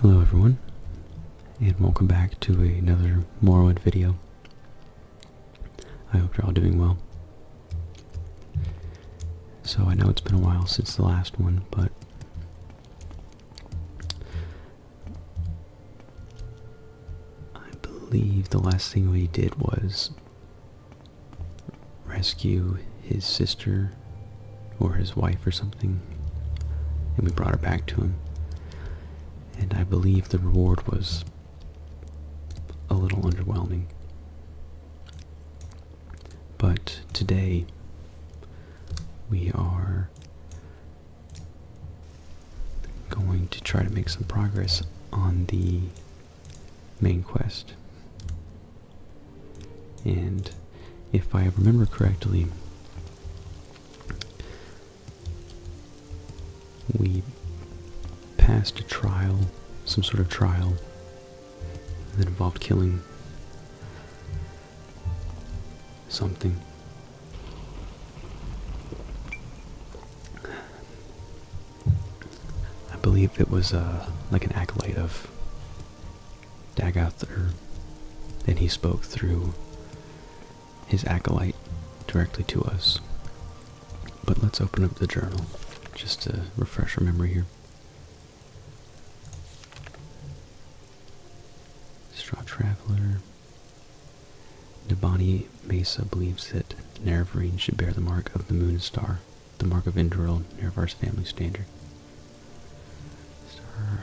Hello everyone, and welcome back to another Morrowind video. I hope you're all doing well. So I know it's been a while since the last one, but I believe the last thing we did was rescue his sister or his wife or something, and we brought her back to him. And I believe the reward was a little underwhelming. But today we are Going to try to make some progress on the main quest. And if I remember correctly, we passed a trial, some sort of trial that involved killing something. I believe it was uh, like an acolyte of Dagoth, or and he spoke through his acolyte directly to us. But let's open up the journal just to refresh our memory here. Straw Traveler. Debani Mesa believes that Nerevarine should bear the mark of the moon and star, the mark of Indril, Nerevar's family standard. Star.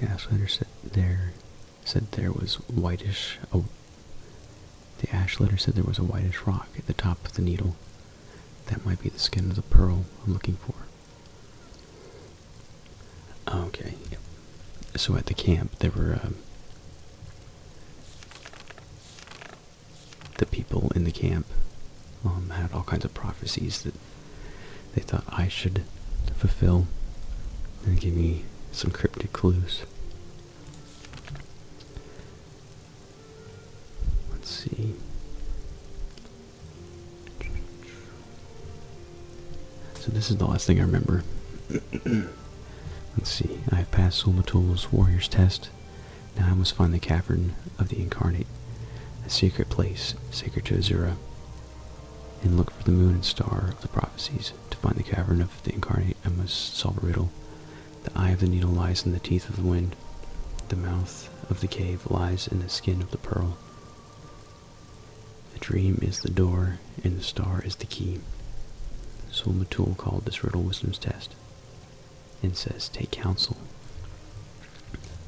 The ash said there said there was whitish. Oh, the ash litter said there was a whitish rock at the top of the needle, that might be the skin of the pearl I'm looking for. Okay, So at the camp, there were um, the people in the camp um, had all kinds of prophecies that they thought I should fulfill and give me some cryptic clues. Let's see. So this is the last thing I remember. Let's see. I have passed Sulmatul's warrior's test. Now I must find the cavern of the incarnate, a secret place sacred to Azura, and look for the moon and star of the prophecies. To find the cavern of the incarnate, I must solve a riddle the eye of the needle lies in the teeth of the wind. The mouth of the cave lies in the skin of the pearl. The dream is the door, and the star is the key. So Matul called this riddle Wisdom's Test, and says, Take counsel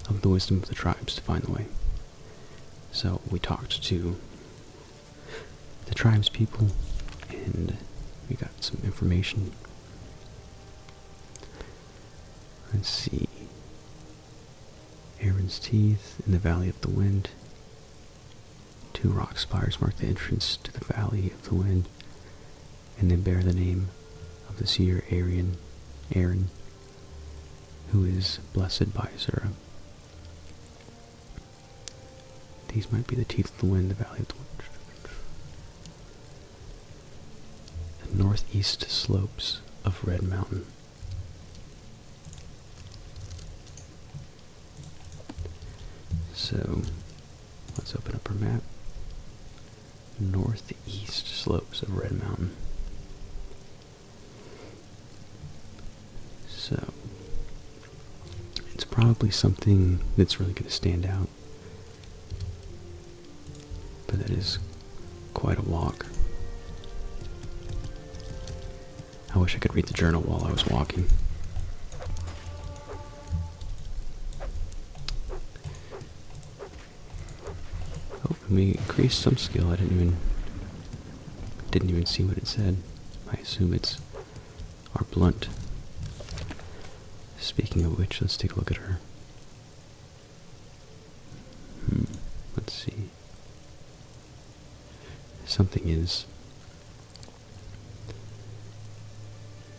of the wisdom of the tribes to find the way. So we talked to the tribes people, and we got some information. Let's see. Aaron's Teeth in the Valley of the Wind. Two rock spires mark the entrance to the Valley of the Wind, and they bear the name of the seer Aaron, Aaron, who is blessed by Azura. These might be the Teeth of the Wind, the Valley of the Wind the northeast slopes of Red Mountain. So let's open up our map. Northeast slopes of Red Mountain. So it's probably something that's really going to stand out but that is quite a walk. I wish I could read the journal while I was walking. Oh, and we increased some skill. I didn't even didn't even see what it said. I assume it's our blunt. Speaking of which, let's take a look at her. Hmm, let's see. Something is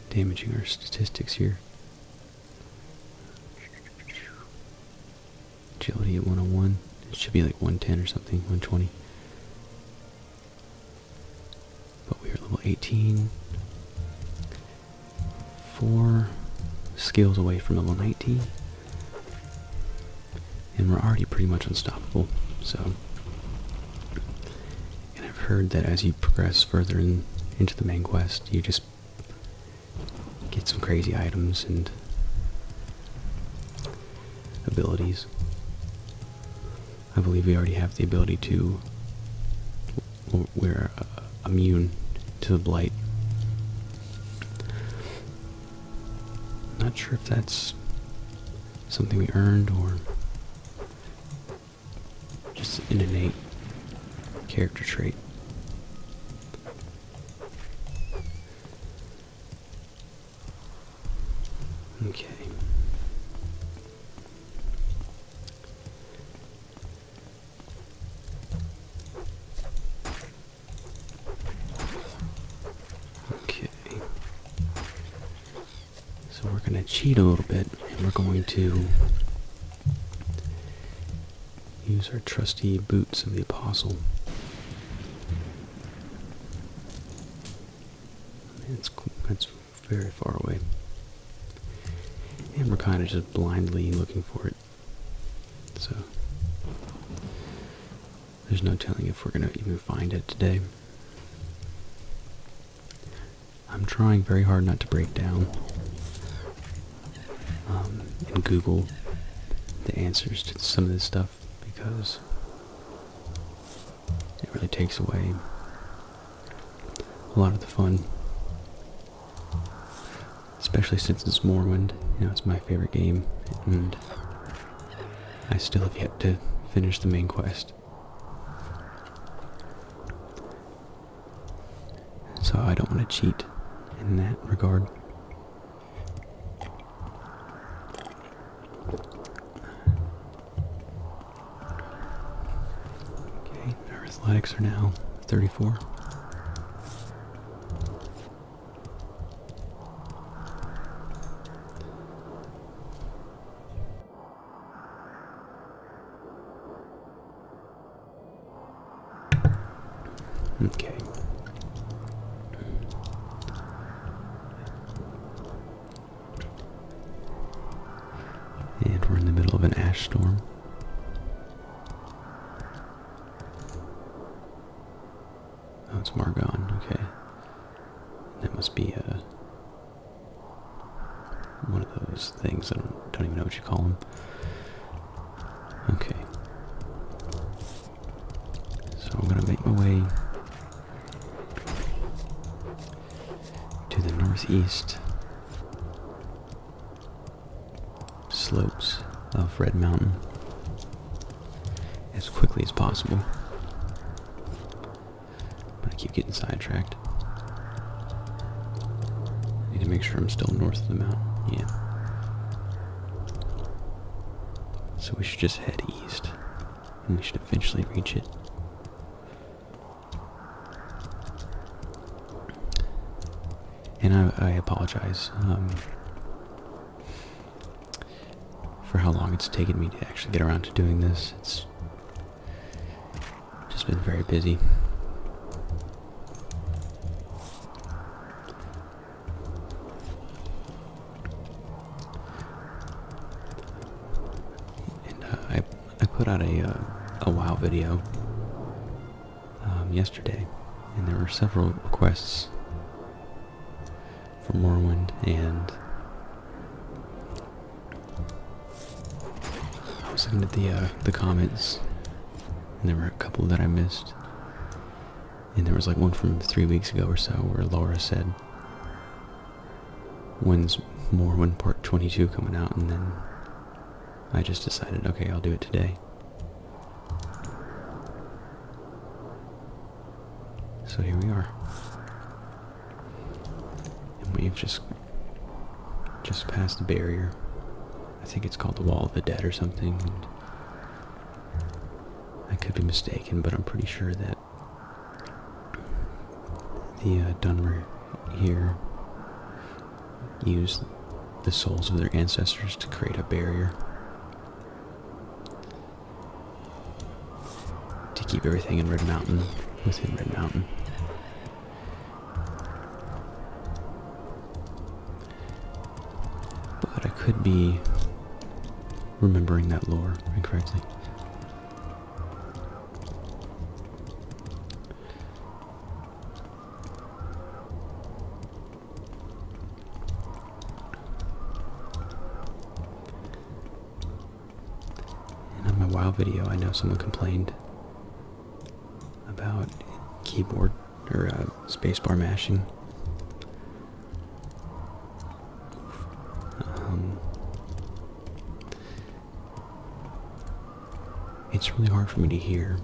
damaging our statistics here. Agility at 101. It should be like 110 or something, 120. But we are level 18 four skills away from level 19. And we're already pretty much unstoppable, so. And I've heard that as you progress further into the main quest, you just get some crazy items and abilities. I believe we already have the ability to we're uh, immune to the blight. Not sure if that's something we earned or just an innate character trait. Okay. Okay. So we're going to cheat a little bit and we're going to use our trusty boots of the apostle. That's cool. That's very far away. And we're kind of just blindly looking for it. So, there's no telling if we're going to even find it today. I'm trying very hard not to break down and um, Google the answers to some of this stuff because it really takes away a lot of the fun Especially since it's Morrowind, you know, it's my favorite game, and I still have yet to finish the main quest. So I don't want to cheat in that regard. Okay, his legs are now 34. Okay. And we're in the middle of an ash storm. That's oh, it's Margon. Okay. That must be a, uh, one of those things. I don't even know what you call them. Okay. So I'm going to make my way to the northeast slopes of Red Mountain as quickly as possible. But I keep getting sidetracked. Need to make sure I'm still north of the mountain. Yeah. So we should just head east. And we should eventually reach it. And I, apologize um, for how long it's taken me to actually get around to doing this. It's just been very busy. And uh, I I put out a uh, a WoW video um, yesterday, and there were several requests for Morrowind, and I was looking at the uh, the comments, and there were a couple that I missed, and there was like one from three weeks ago or so where Laura said, "When's Morrowind Part 22 coming out?" and then I just decided, okay, I'll do it today. So here we are. we've just just passed the barrier. I think it's called the Wall of the Dead or something. I could be mistaken, but I'm pretty sure that the uh, Dunmer here use the souls of their ancestors to create a barrier to keep everything in Red Mountain within Red Mountain. But I could be remembering that lore incorrectly. And on my WoW video, I know someone complained about keyboard or uh, spacebar mashing. Um, it's really hard for me to hear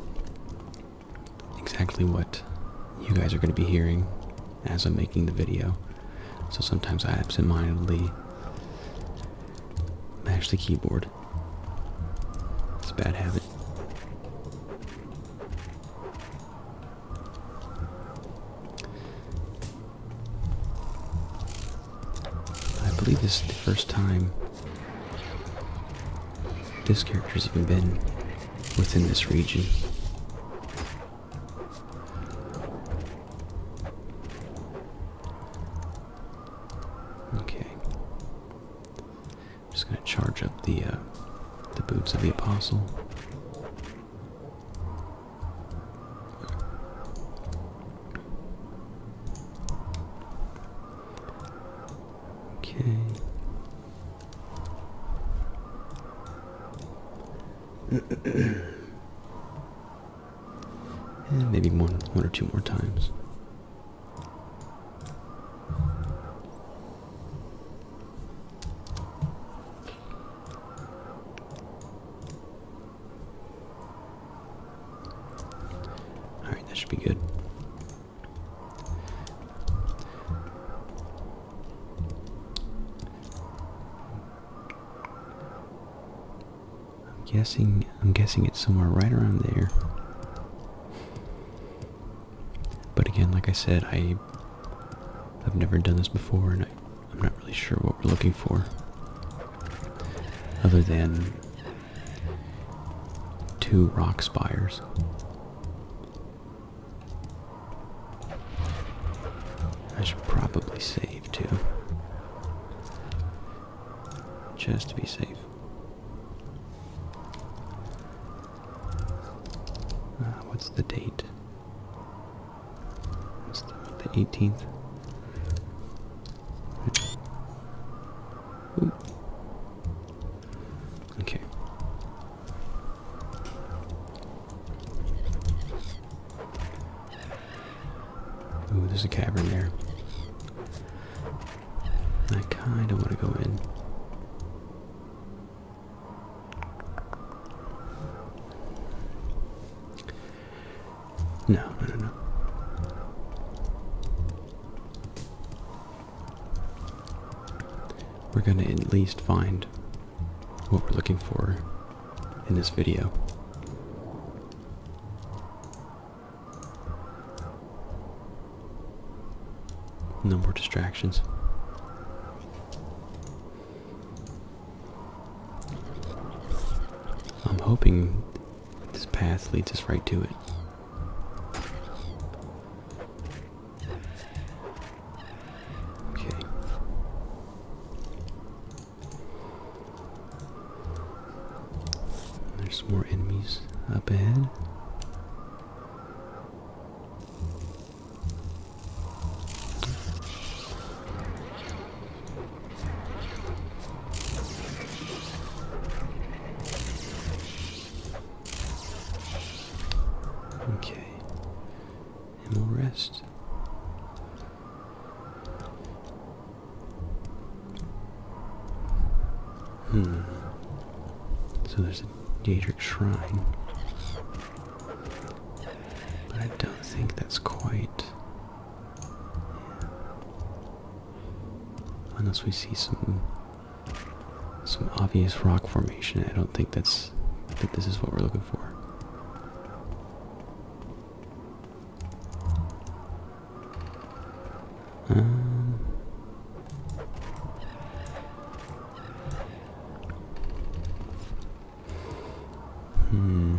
exactly what you guys are going to be hearing as I'm making the video. So sometimes I absentmindedly mash the keyboard. It's a bad habit. I believe this is the first time this character's even been within this region. Okay. I'm just gonna charge up the uh, the boots of the apostle. Okay. and maybe one, one or two more times. All right, that should be good. I'm guessing I'm guessing it's somewhere right around there. But again, like I said, I have never done this before and I'm not really sure what we're looking for. Other than two rock spires. I should probably save two, Just to be safe. Uh, what's the date? What's the 18th? Ooh. Okay. Ooh, there's a cavern there. I kind of want to go in. no, no, no we're going to at least find what we're looking for in this video. No more distractions. I'm hoping this path leads us right to it. Okay. There's more enemies up ahead. Okay. And we'll rest. Hmm. So there's a Daedric Shrine. But I don't think that's quite. Unless we see something some obvious rock formation. I don't think that's that this is what we're looking for. Um, hmm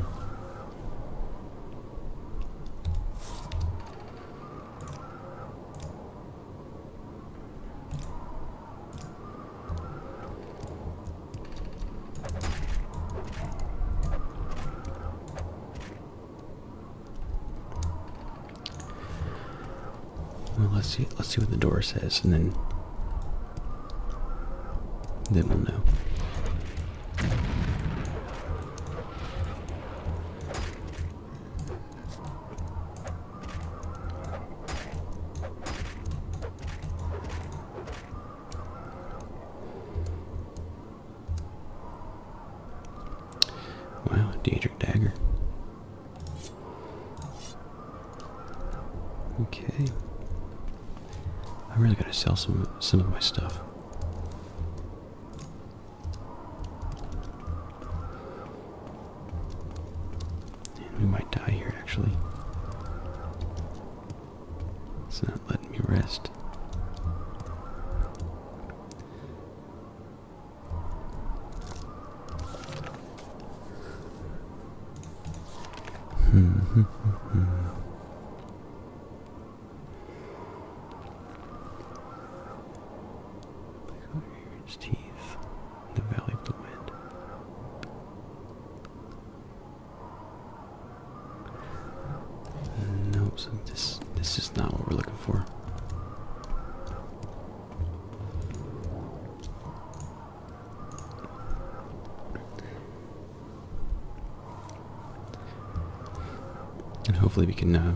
let's see. Let's see what the door says, and then then we'll know. Wow, Daedric Dagger. Okay. I am really going to sell some some of my stuff we might die here, actually. It's not letting me rest. teeth in the Valley of the Wind. Nope, this this is not what we're looking for and hopefully we can uh,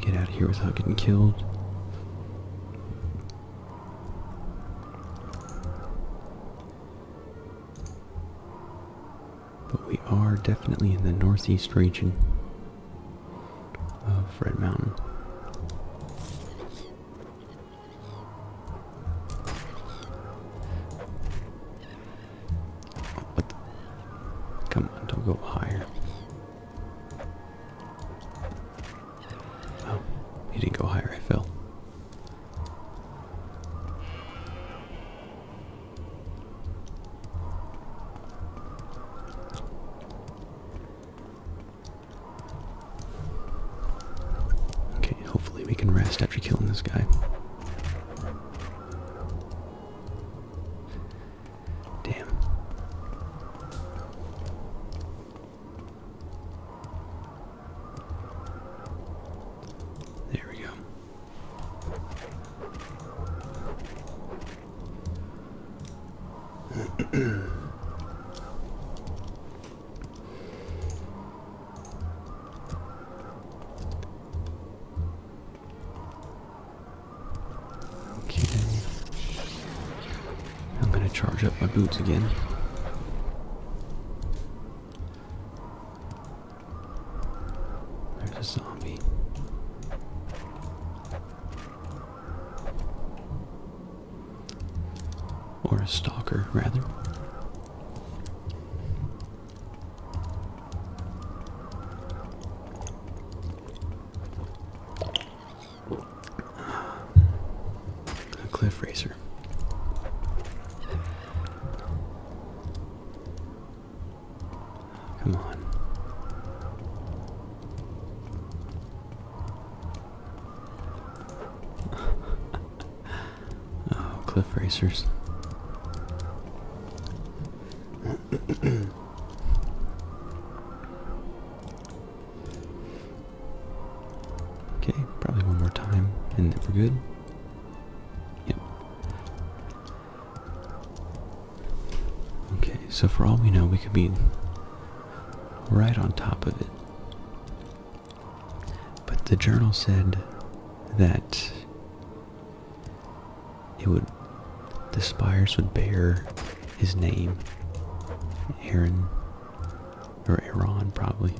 get out of here without getting killed. But we are definitely in the northeast region of Red Mountain. But come on, don't go higher. Oh, he didn't go higher, I fell. Okay, hopefully we can rest after killing this guy. Damn. There we go. Okay I'm gonna charge up my boots again. There's a zombie. Or a stalker, rather. A cliff racer. Come on. oh, cliff racers okay, probably one more time, and then we're good. Yep. Okay, so for all we know, we could be right on top of it. But the journal said that it would the spires would bear his name Aaron or Aaron probably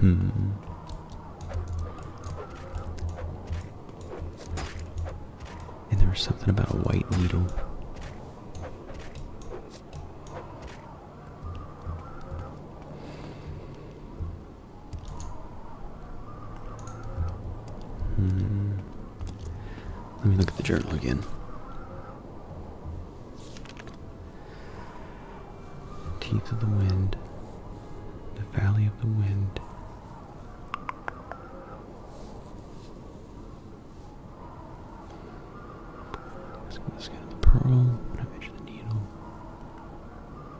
hmm and there was something about a white needle Hmm. Let me look at the journal again. Teeth of the Wind, The Valley of the Wind. Let's go to the skin of the pearl, what the needle.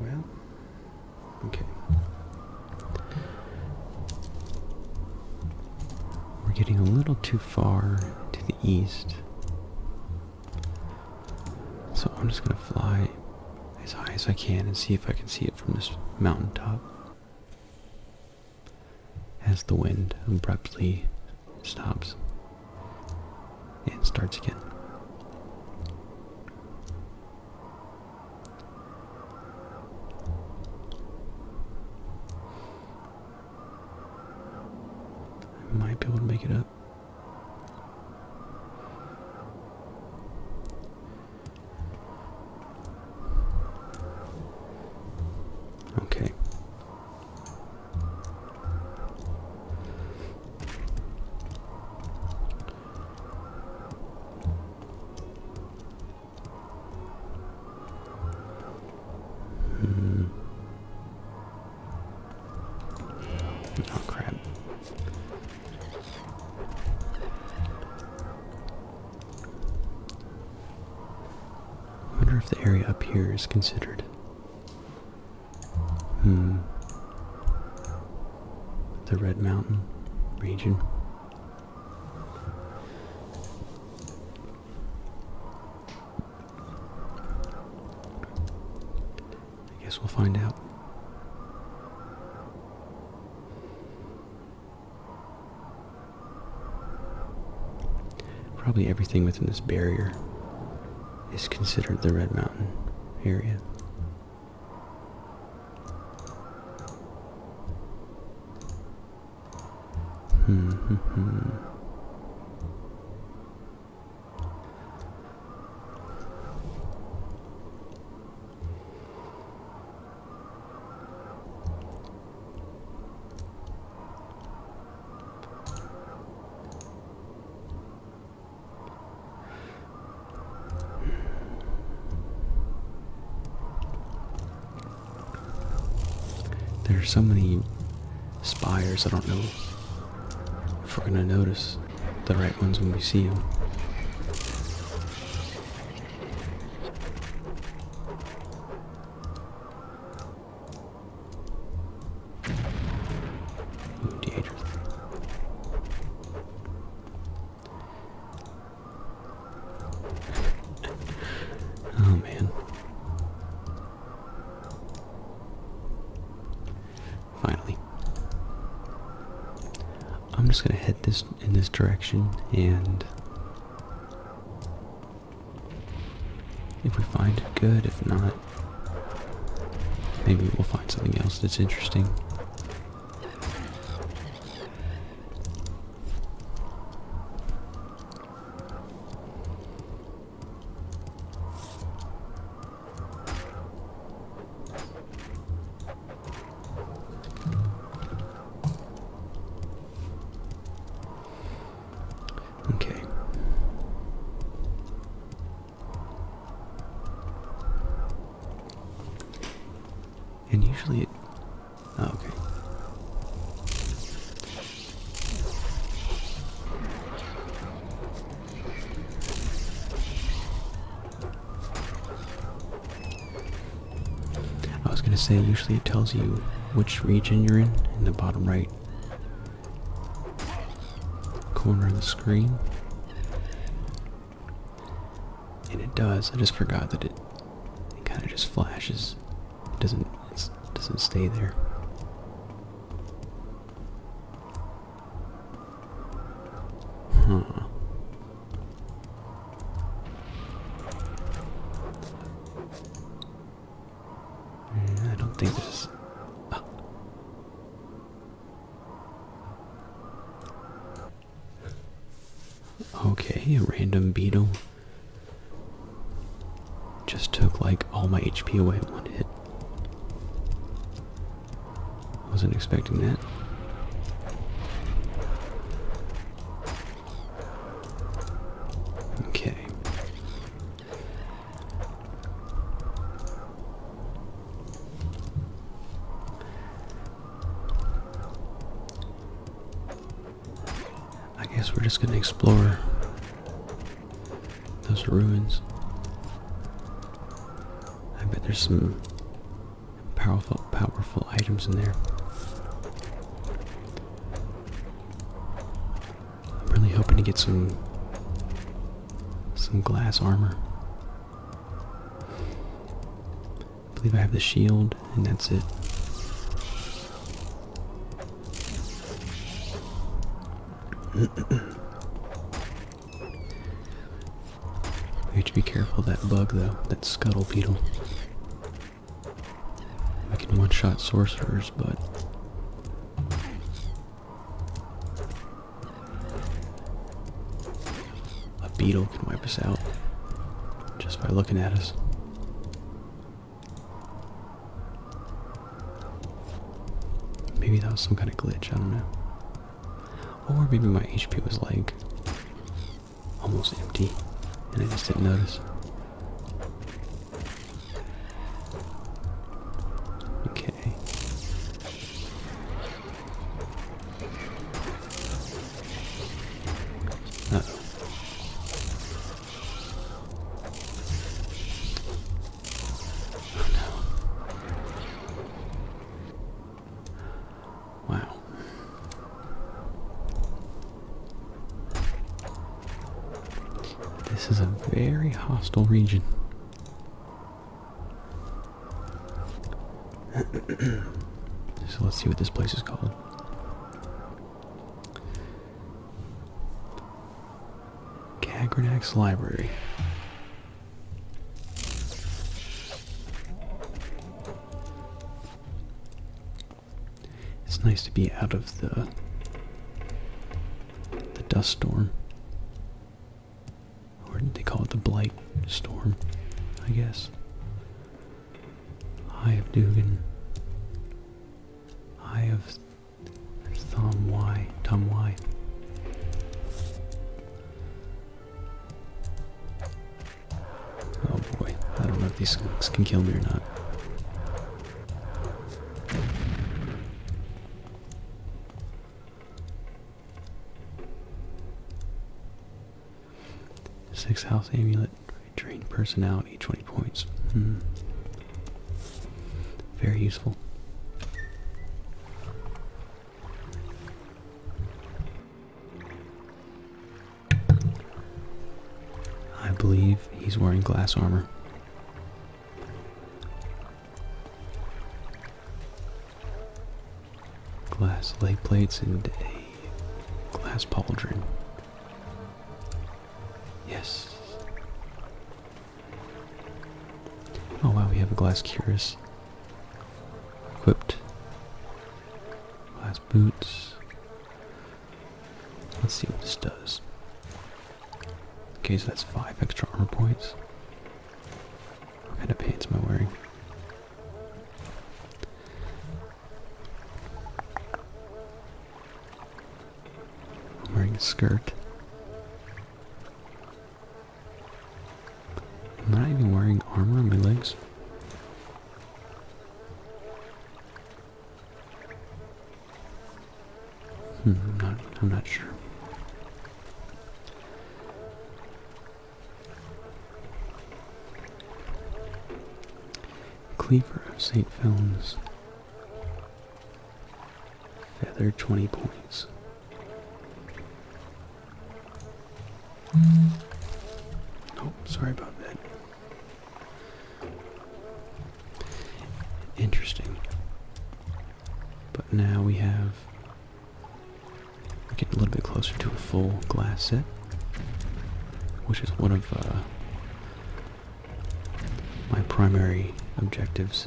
Well, okay. We're getting a little too far to the east. So I'm just going to fly as high as I can and see if I can see it from this mountaintop as the wind abruptly stops and starts again. I might be able to make it up. Okay. Hmm. Oh crap. I wonder if the area up here is considered. Hmm. The Red Mountain region. I guess we'll find out. Probably everything within this barrier is considered the Red Mountain area. There are so many spires, I don't know if we're gonna notice the right ones when we see them oh man. Finally. I'm just gonna head this in this direction and if we find it, good. If not, maybe we'll find something else that's interesting. Okay. And usually it. Oh, okay. I was gonna say, usually it tells you which region you're in in the bottom right corner of the screen. And it does. I just forgot that it, it kind of just flashes. It doesn't it doesn't stay there. Huh. I don't think this oh. Okay, a random beetle just took like all my HP away in one hit. Wasn't expecting that. Okay. I guess we're just going to explore those ruins. I bet there's some powerful powerful items in there. I'm really hoping to get some some glass armor. I believe I have the shield and that's it. We have to be careful that bug though, that scuttle beetle. I can one-shot sorcerers, but a beetle can wipe us out just by looking at us. Maybe that was some kind of glitch, I don't know. Or maybe my HP was like almost empty and I just didn't notice. Okay. Uh -oh. oh no. Wow. This is a very hostile region. so let's see what this place is called. Cagranak's Library. It's nice to be out of the the dust storm. Or they call it the blight storm, I guess. Eye of Dugan. Eye of Thom Y. Tom Y. Oh boy, I don't know if these skunks can kill me or not. Six house amulet, drain personality, 20 points. Hmm. Very useful. I believe he's wearing glass armor glass leg plates and a glass pauldron. Yes. Oh wow, we have a glass cuirass equipped. Glass boots. Let's see what this does. Okay, so that's five extra armor points. kind of pants I am wearing a skirt. I'm not even wearing armor on my legs. Hmm, I'm not, sure. Cleaver of St. Films. Feather 20 points. Oh, sorry about that. Interesting. But now we have. We're getting a little bit closer to a full glass set, which is one of uh, my primary objectives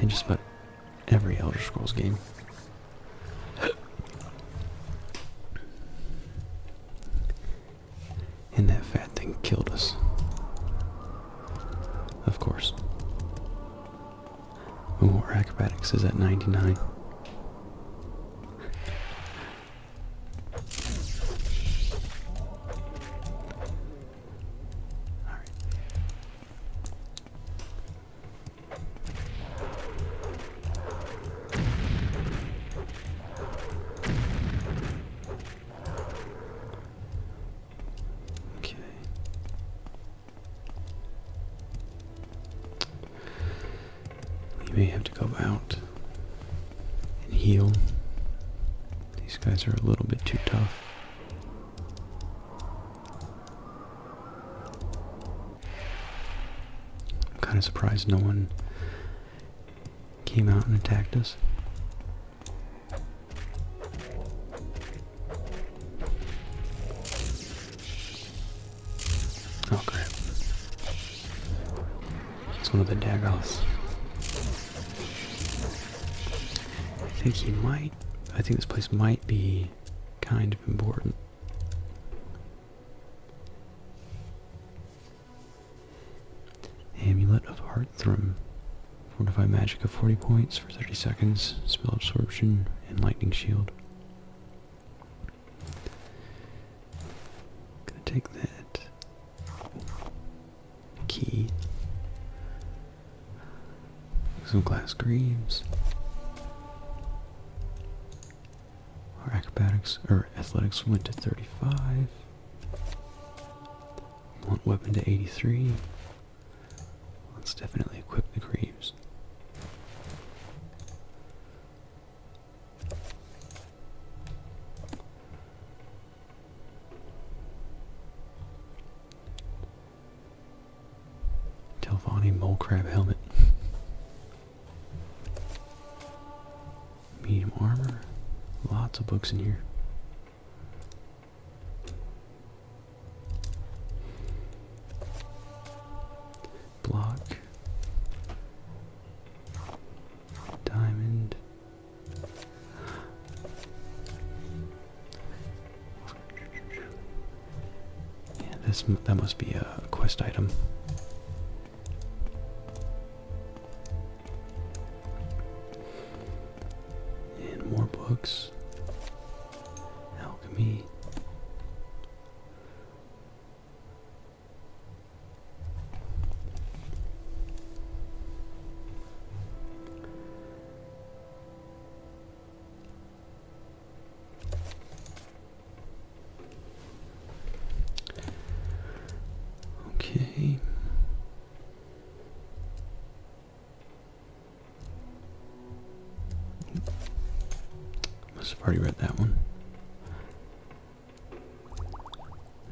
in just about every Elder Scrolls game. And that fat thing killed us. Of course. Oh, our acrobatics is at 99. Alright. Okay. We may have to go out and heal. These guys are a little bit too tough. I'm kind of surprised no one came out and attacked us. Oh It's one of the daggers. I think he might I think this place might be kind of important. Amulet of Heartthrum. Fortify magic of 40 points for 30 seconds, spell absorption, and lightning shield. Gonna take that key. Some glass greaves. Our acrobatics or athletics went to 35. Want weapon to 83. Let's definitely equip the Greaves. Telvani mole crab helmet. medium armor. Lots of books in here. Block. Diamond. Yeah, this that must be a quest item. And more books. Alchemy. Okay. Must have already read that one.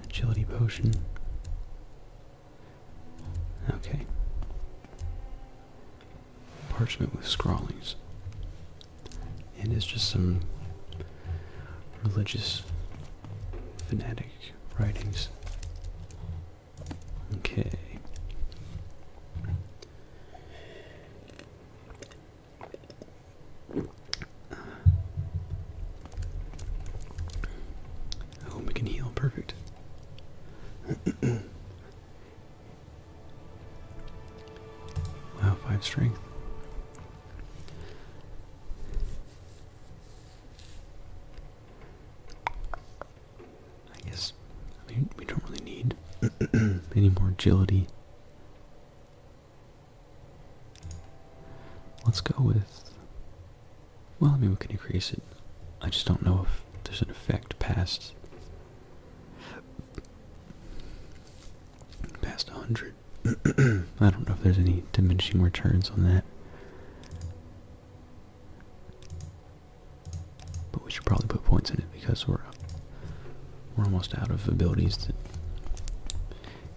Agility potion. Okay. Parchment with scrawlings. And it's just some religious fanatic writings. Okay. I we can heal. Perfect. wow, five strength. I guess, we don't really need any more agility. Let's go with, well, I mean, we can increase it. I just don't know if there's an effect past, past a 100. I don't know if there's any diminishing returns on that. But we should probably put points in it because we're we're almost out of abilities to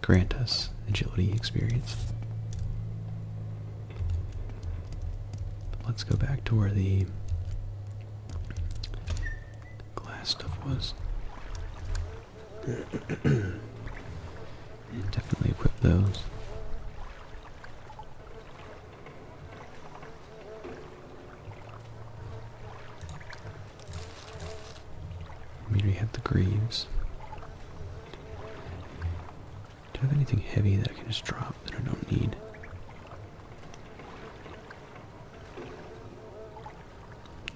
grant us agility experience. let's go back to where the glass stuff was. Yeah, definitely equip those. We already had the greaves. Do I have anything heavy that I can just drop that I don't need?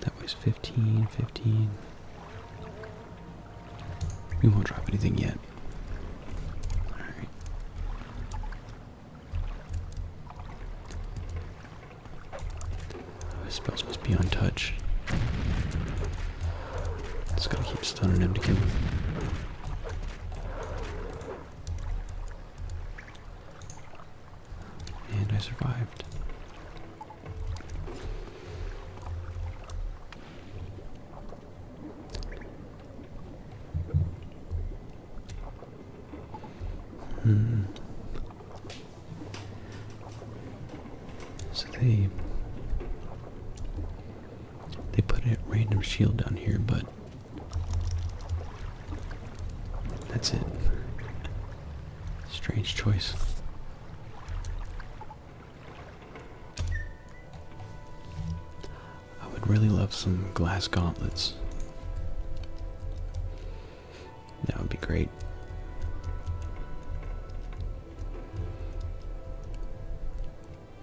That weighs 15, 15. We won't drop anything yet. Alright. His spells must be untouched. Just gotta keep stunning him to kill him. And I survived. Hmm. So they they put a random shield down here, but that's it. Strange choice. I would really love some glass gauntlets. That would be great.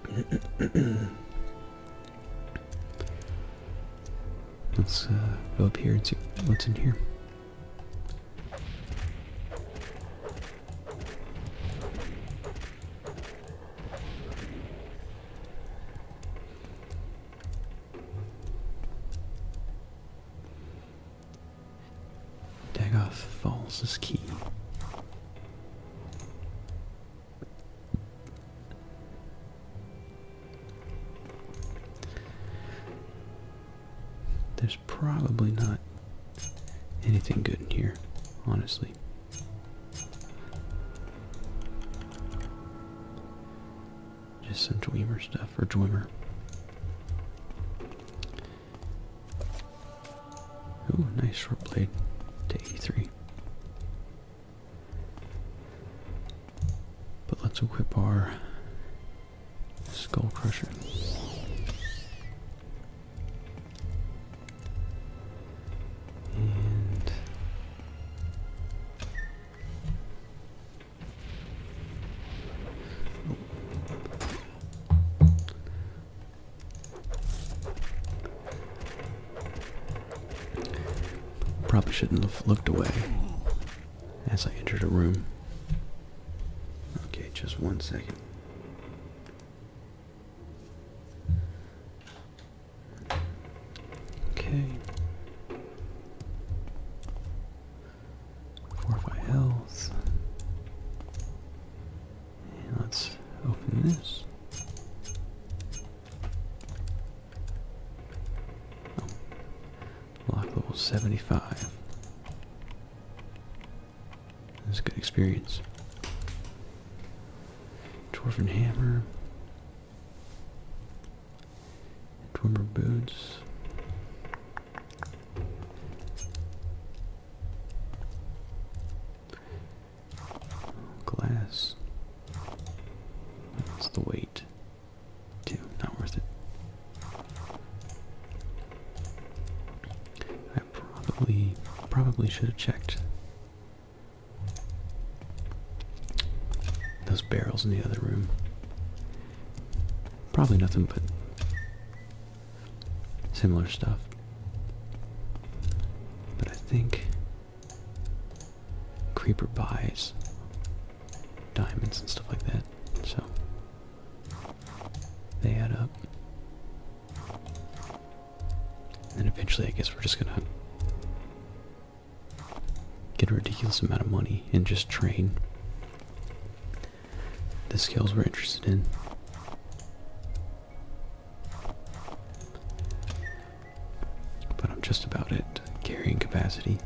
let's uh, go up here and see what's in here. Dagoth falls is key probably not anything good in here, honestly. Just some Dwemer stuff, for Dwemer. Ooh, nice short blade to three. But let's equip our Skull Crusher. And Probably shouldn't have looked away as I entered a room. Okay, just one second. Okay. Fortify health. let's open this. Lock level 75. It was a good experience. Dwarven hammer. Dwarven boots. Glass. That's the weight. Too not worth it probably probably should have checked those barrels in the other room. Probably nothing but similar stuff. But I think Creeper buys diamonds and stuff like that, so they add up. And eventually I guess we're just gonna get a ridiculous amount of money and just train the skills we're interested in. But I'm just about it carrying capacity.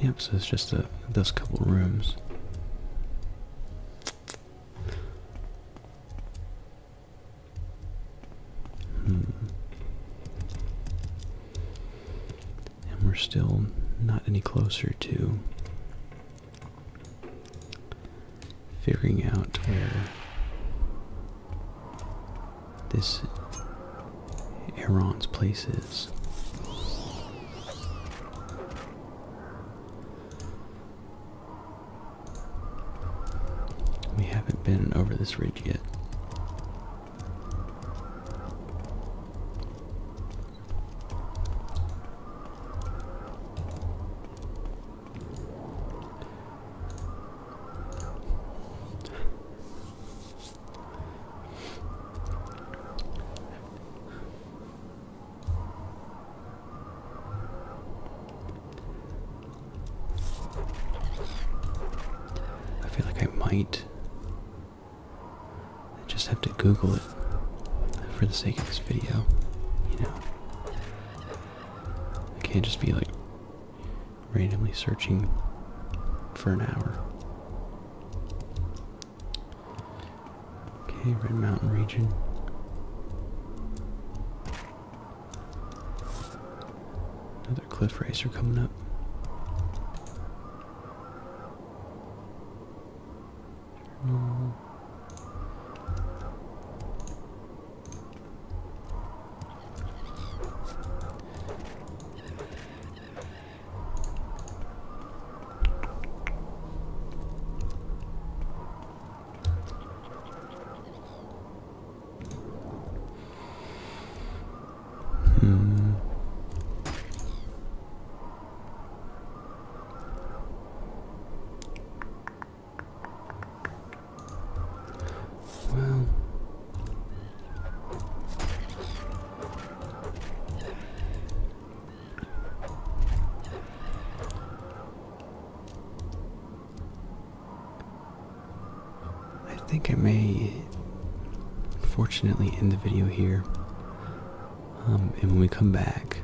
Yep, so it's just those couple rooms. Hmm. And we're still not any closer to figuring out where this Aaron's places. We haven't been over this ridge yet. I feel like I might just have to Google it for the sake of this video, you know. I can't just be like randomly searching for an hour. Okay, Red Mountain region. Another cliff racer coming up. Hmm. Well, I think I may, fortunately, end the video here. Um, and when we come back,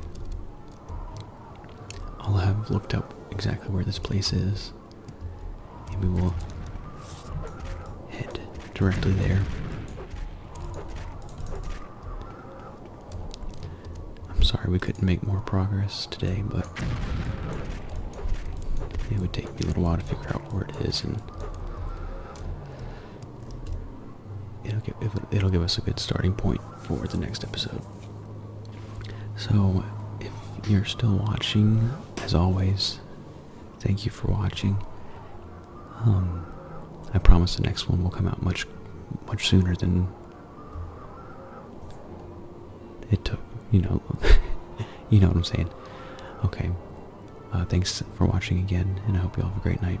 I'll have looked up exactly where this place is, and we will head directly there. I'm sorry we couldn't make more progress today, but it would take me a little while to figure out where it is, and it'll give, us a good starting point for the next episode. So, if you're still watching, as always, thank you for watching, um, I promise the next one will come out much, much sooner than it took. You know, you know what I'm saying. Okay. Uh, thanks for watching again, and I hope you all have a great night.